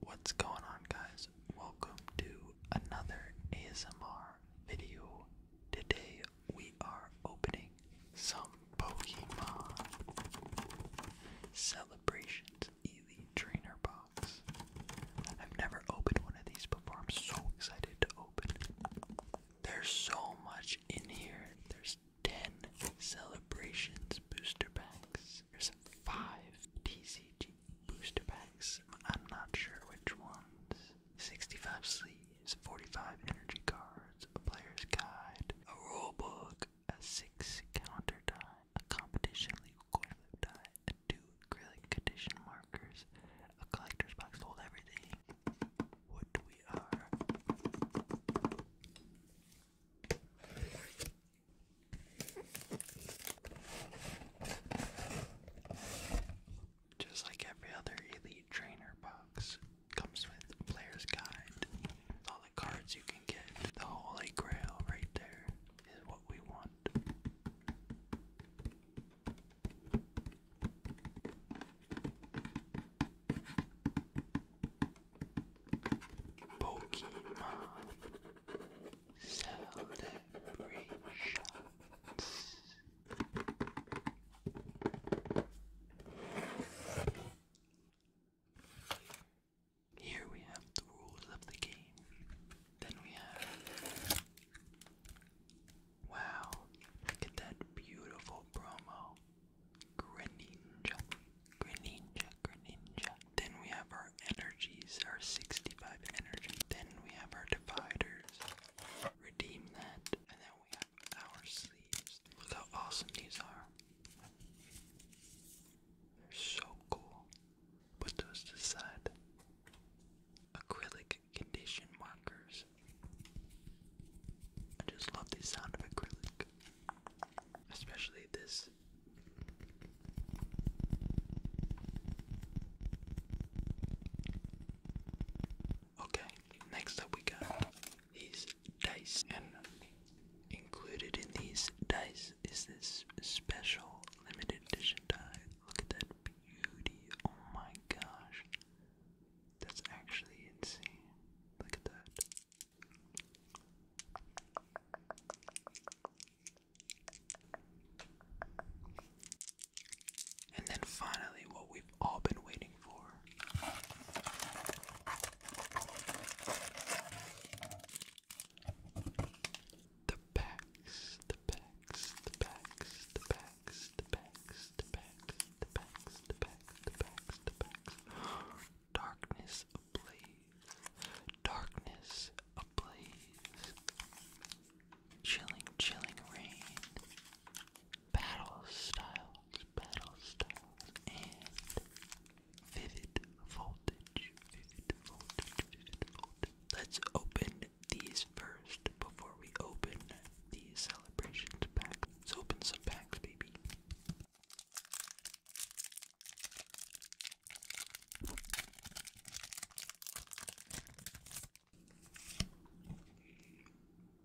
What's going on, guys? Welcome to another ASMR video. Today we are opening some Pokemon Celebrations Elite Trainer Box. I've never opened one of these before. I'm so excited to open. There's so much in here. There's 10 Celebrations Booster Packs is. There's five TCG booster packs. I'm not sure which ones. 65 sleeves, 45 energy cards, a player's guide, a rule book, a six counter die, a competition legal coin die, and two acrylic condition markers, a collector's box to hold everything. What we are. Just like every other Elite Trainer box, comes with Player's Guide. all the cards you can get. The Holy Grail right there is what we want. Pokemon celebrations. Here we have the rules of the game. Then we have. Wow, look at that beautiful promo. Greninja, Greninja, Greninja. Then we have our energies, our 65 energy. Then we have our dividers. Redeem that. And then we have our sleeves. Look how awesome these are. They're so cool. Put those to side. Acrylic condition markers. I just love the sound of acrylic. Especially this this. Okay, next up we got these dice, and included in these dice is this special limited edition die. Look at that beauty! Oh my gosh, that's actually insane. Look at that. And then finally, what we've all been waiting for. The packs, the packs, the packs, the packs, the packs, the packs, the packs, the packs, the packs, the packs, Darkness ablaze, darkness ablaze, chilling, chilling rain, battle styles, battle styles, and vivid voltage, vivid voltage, Let's open these first before we open these celebration packs. Let's open some packs, baby.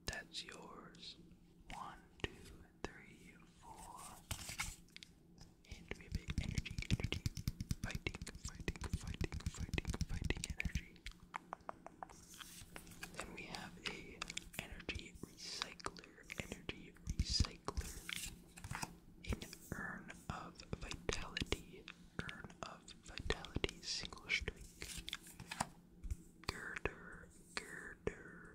That's yours. One, two, three, four. And we have energy, energy, fighting, fighting, fighting, fighting, fighting energy. Then we have a energy recycling solar energy recycler. urn of vitality, urn of vitality, single strike. Girder, girder.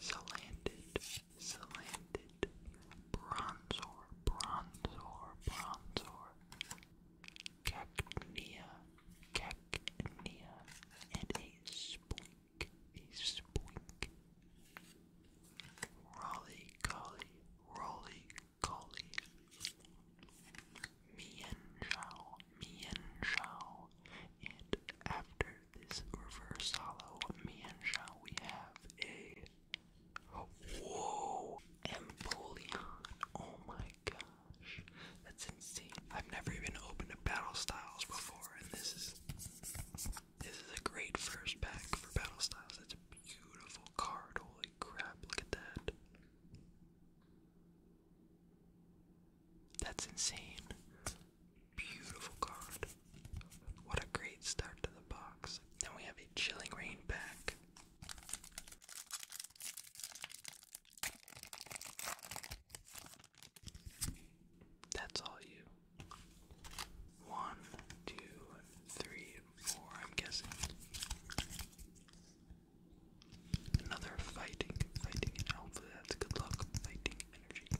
Salanded, salanded. Bronzor, bronzor, bronzor. Cacnea, cacnea, and a splink, a splink. Rolly collie, rolly collie. Mian Zhao, And after this reverse hollow Mian Zhao, we have a. Whoa! Empoleon. Oh my gosh. That's insane. I've never even opened a Battle Styles before, and this is this is a great first pack for Battle Styles. That's a beautiful card. Holy crap, look at that. That's insane. Beautiful card. What a great start to the box. Then we have a chilling rain pack. That's all you. One, two, three, four, I'm guessing. Another fighting, fighting, and hopefully that's good luck. Fighting energy.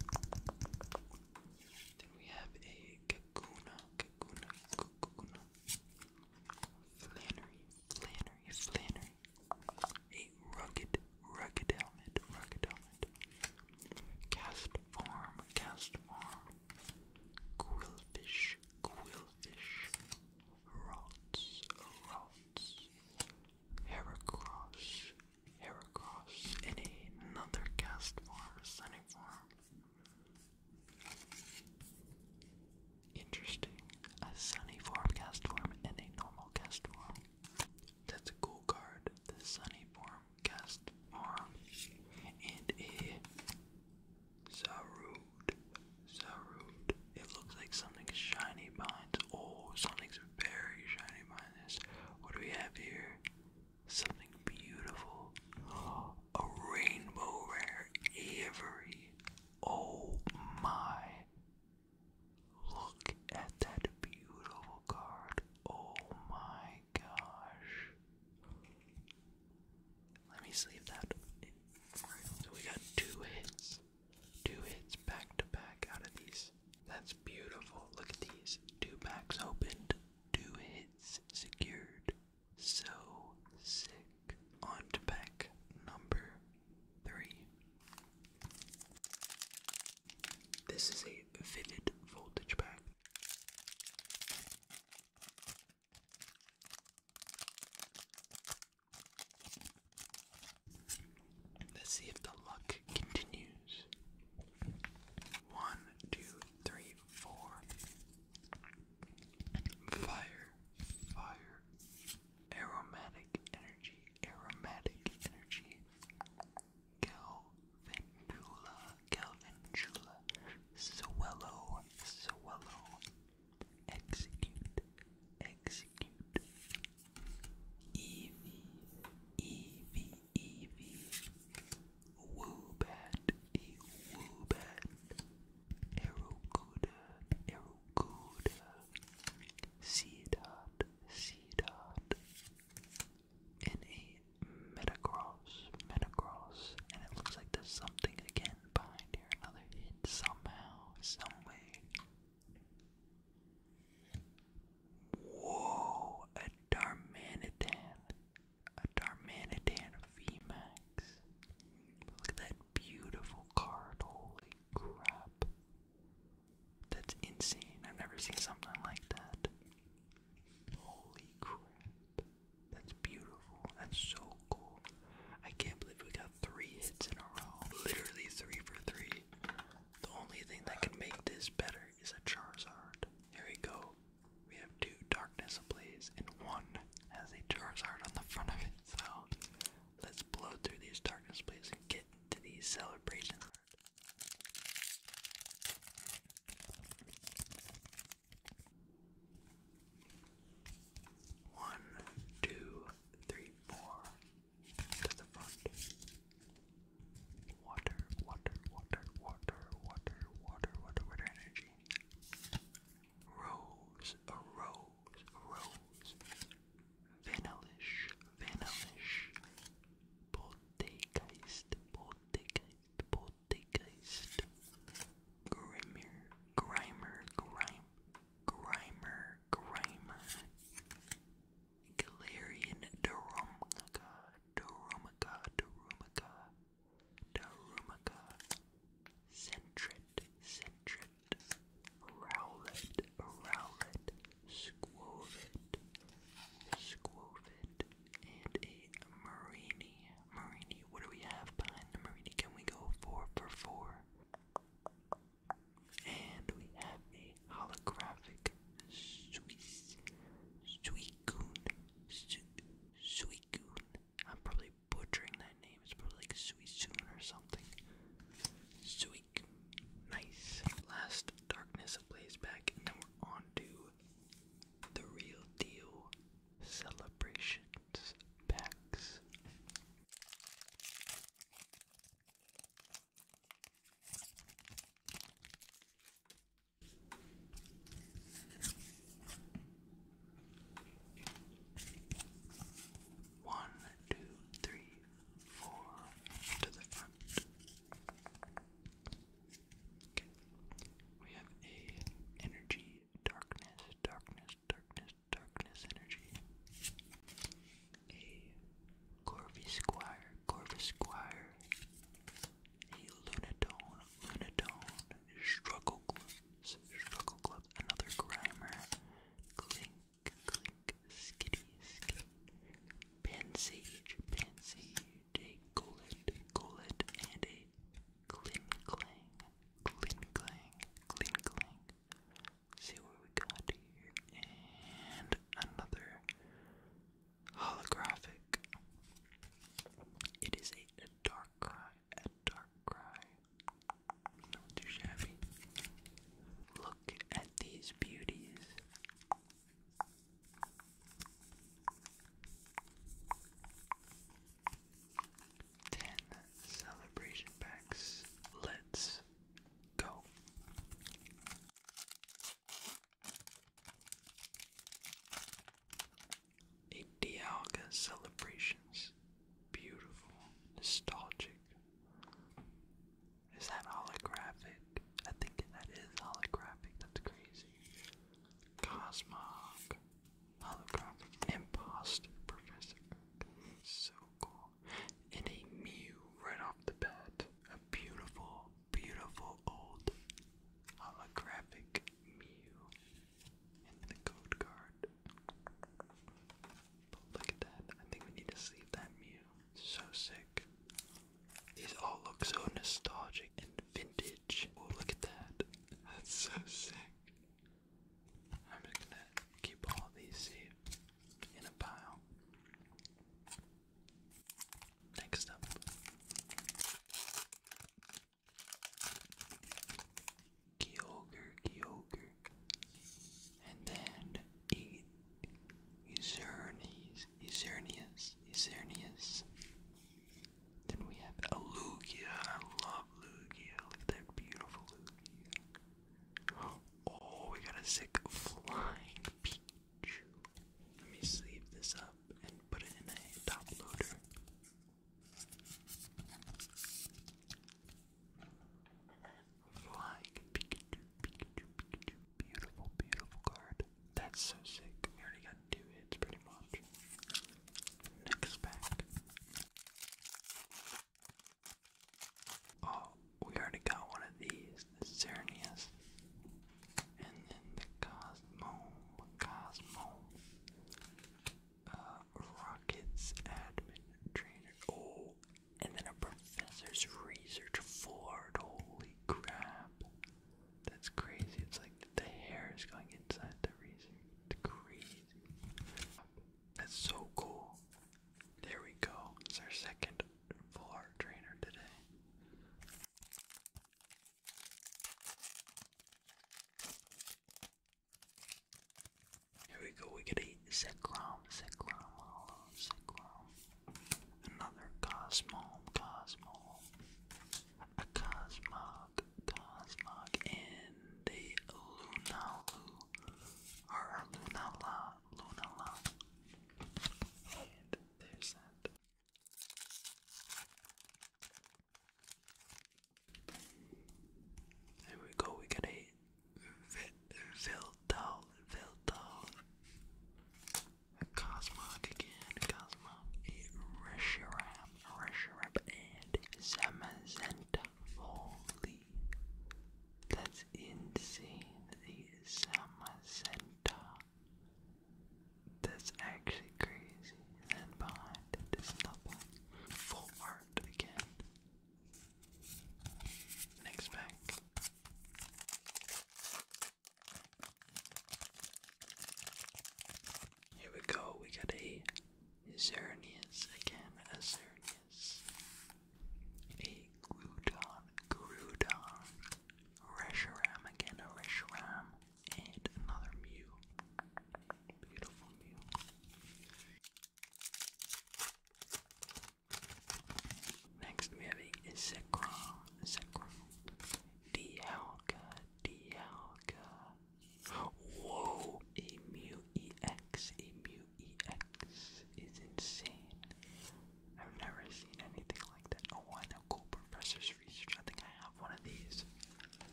Then we have a Kakuna, Kakuna, Kakuna. Flannery, Flannery, Flannery. A rugged, rugged helmet, rugged helmet. Cast farm, cast farm. Quillfish, quillfish. Rots, rots. Heracross, heracross. And another cast farm, sunny farm. Interesting. A sunny formcast form and a normal cast form. That's a cool card. The sunny form cast form and a Zarud. Zarud. It looks like something shiny behind. Oh, something's very shiny behind this. What do we have here? Something beautiful. A rainbow rare. Avery. Oh my. Look at that beautiful card. Oh my gosh. Let me save that. So we got two hits. Two hits back to back out of these. That's beautiful. Look at these. Two packs opened. Two hits secured. So sick on to pack number three. This is a fitted voltage pack. Let's see if the luck continues. One, two, three, four. Fire, fire, aromatic energy, aromatic energy, Galvantula, Galvantula, Swellow, Swellow, Execute, Execute, Eevee, Eevee, Eevee, Woobat, a Woobat, Eruguda, Eruguda, Seedot, Seedot, and a Metacross, Metacross, and it looks like there's something again behind here, another hit somehow, someway. Whoa, a Darmanitan, a Darmanitan VMAX. Look at that beautiful card. Holy crap. That's insane. I've never seen something like that. Holy crap. That's beautiful. That's so cool. I can't believe we got three hits in a row. Literally three for three. The only thing that can make this better is a Charizard. Here we go. We have two Darkness Ablaze and one has a Charizard on the front of it, so let's blow through these darkness, please, and get to these celebration. One, two, three, four. To the front. Water, water, water, water, water, water, water, water energy rose, rose, rose, vanillish, vanillish, poltergeist, poltergeist, poltergeist, grimer, grimer, grime, grimer, grimer, galarian, derumka, derumka, derumka. Darumaka, Centret, Centret, Rowlet, Rowlet, Squovit, Squovit, and a Marini. Marini, what do we have behind the Marini? Can we go four for four? And we have a holographic Suisse, Suicune, Su Suicune, I'm probably butchering that name. It's probably like Suisun or something. Suik. Nice. Last Darkness plays back, and then we're on the real deal celebrations packs. One, two, three, four to the front. Okay. We have a energy, darkness, darkness, darkness, darkness energy. A Corvus Squire, Corvus Squire, a Lunatone, Lunatone, Struggle Clubs, Struggle Clubs, another Grimer, Clink, Clink, Skitty, Skitty, Pansage, Pansage, a Golid, Golid, and a Clink Clang, Clink Clang, Clink Clang. See what we got here, and another holographic. It is a light dark cry and dark cry. Not too shabby. Look at these beauties. Ten celebration packs. Let's go. A Dialga celebrations. Beautiful. Nostalgic. Is that holographic? I think that is holographic. That's crazy. Cosmog. Holographic. Imposter Professor. So cool. And a Mew right off the bat. A beautiful beautiful old holographic Mew in the code card. look at that. I think we need to sleep that Mew. So sick. These all look so nostalgic and vintage. Oh, look at that. That's so sick. I'm just gonna keep all these safe in a pile. Next up. Kyogre, Kyogre. And then e Ezernius, Ezernius, Ezernius. Then we have Lugia. I love Lugia. Look at that beautiful Lugia. Oh, we got a sick flying let me sleeve this up and put it in a top loader. Flying Beautiful, beautiful card. That's so sick. We already got two hits pretty much. Next pack. Oh, we already got one of these. Xerneas, and then the Cosmo, Cosmo, uh, Rockets admin trainer, oh, and then a professor's research Ford, holy crap, that's crazy, it's like the hair is going inside the research, that's so cool. There we go. It's our second full art trainer today. Here we go, we get a Zekrom, Zekrom, another Cosmom, Cosmom, a Cosmog, Cosmog, and a Lunalu, or Lunala, Lunala, and there's that. There we go, we got a Viltal, Viltal, a Cosmog again, a Cosmog, a Reshiram, a Reshiram, and Zamazenta. Holy, that's insane, the Zamazenta. That's actually crazy. And behind it is double. Full art again. Next pack. Here we go, we got a Xerneas again, a Xerneas. A Gludon, Grudon, Reshiram again, a Reshiram, and another Mew. Beautiful Mew. Next we have a Zekrom, Zekrom, Dialga, Dialga. Whoa, a Mew EX, a Mew EX is insane. I've never seen anything like that. Oh, I know Cooper Professor's Research. I think I have one of these.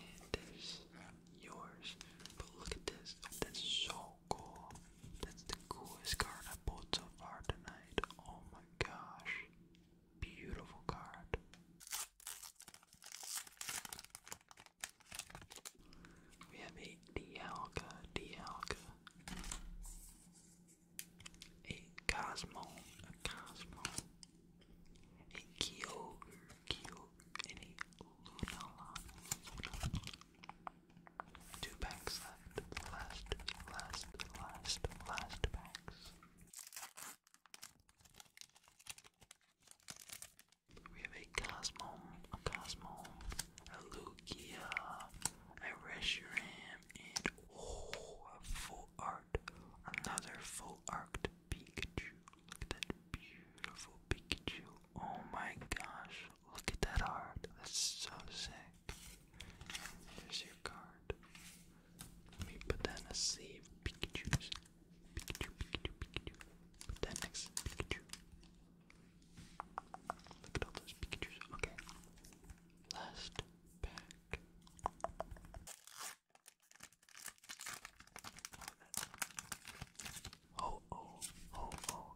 And there's yours. But look at this. That's so cool. That's the coolest card I bought so far tonight. Oh my gosh. Beautiful card. We have a Dialga, Dialga a cosmos, a cosmos, a Kyogre, Kyogre, a Lunala, Two packs left, last, last, last, last packs. We have a Cosmo, a Cosmo, a Lugia, I rest your hand and oh, a full art, another full art Pikachu. Look at that beautiful Pikachu. Oh my gosh, look at that art. That's so sick. There's your card. Let me put that in a Pikachu, Pikachu, Pikachu. Put that next Look at all those Pikachu's. Okay. Last pack. Oh, oh, oh, oh.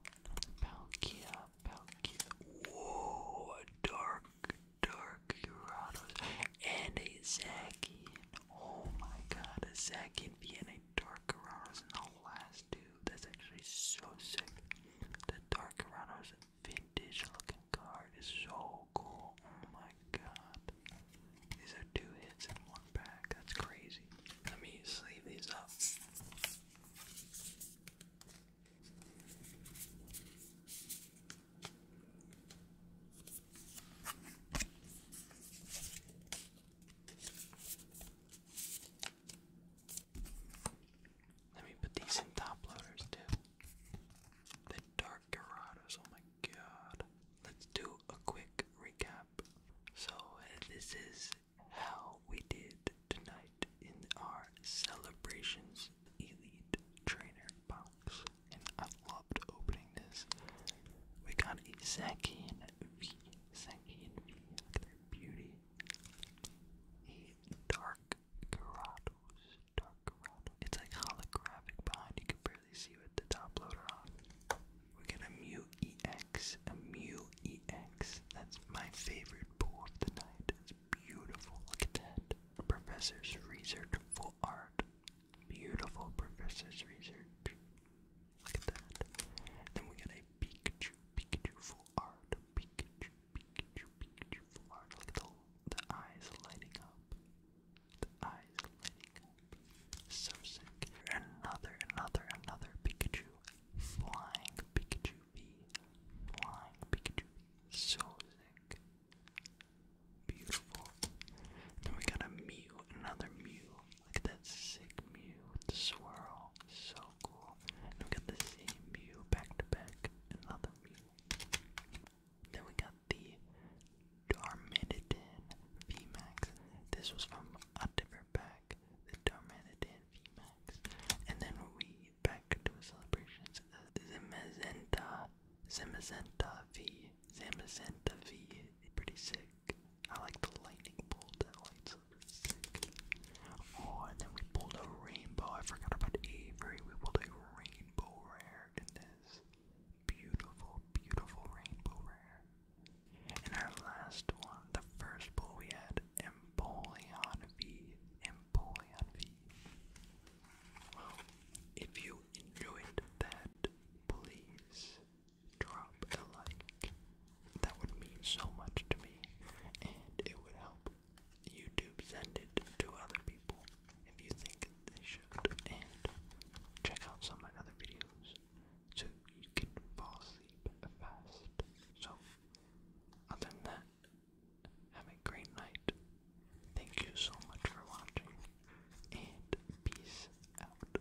Palkia, Palkia. Whoa, a dark, dark Gyarados. And a Zacian. Oh my god, a Zacian being a dark Gyarados in the last two that's actually so sick. The Dark Rhino's vintage looking card is so cool. Oh my god. These are two hits in one pack. That's crazy. Let me sleeve these up. Let me put these in top loaders too. The Dark Dorados, oh my god. Let's do a quick recap. So, uh, this is how we did tonight in our Celebrations Elite Trainer box. And I loved opening this. We got a Zacian V. Zacian V. Look at their beauty. It's like holographic behind. You can barely see you at the top loader on. We get a Mew EX. A Mew EX. That's my favorite pool of the night. It's beautiful. Look at that. professor's research for art. Beautiful professor's research. Look at that. Then we got a Pikachu, Pikachu full art, Pikachu, Pikachu, Pikachu full art. Look at the, eyes lighting up. The eyes lighting up. So sick. Another, another, another Pikachu. Flying Pikachu V. Flying Pikachu So sick. Beautiful. Then we got a Mew, another Mew. Look at that sick Mew swirl. So cool. we got the same Mew back to back. Another Mew. Then we got the Darmanitan VMAX. This was from a different pack. The Darmanitan VMAX. And then we back to the celebrations. The Zamazenta. Zamazenta V. Zamazenta V. Pretty sick. I like the lightning bolt. That light's up Oh, and then we pulled a rainbow. I forgot about Avery. We pulled a rainbow rare this. Beautiful, beautiful rainbow rare. And our last one, the first pull we had, Empoleon V. Empoleon V. Well, if you enjoyed that, please drop a like. That would mean so much to me, and it would help YouTube send it to other people if you think they should. And check out some of my other videos so you can fall asleep fast. So, other than that, have a great night. Thank you so much for watching, and peace out.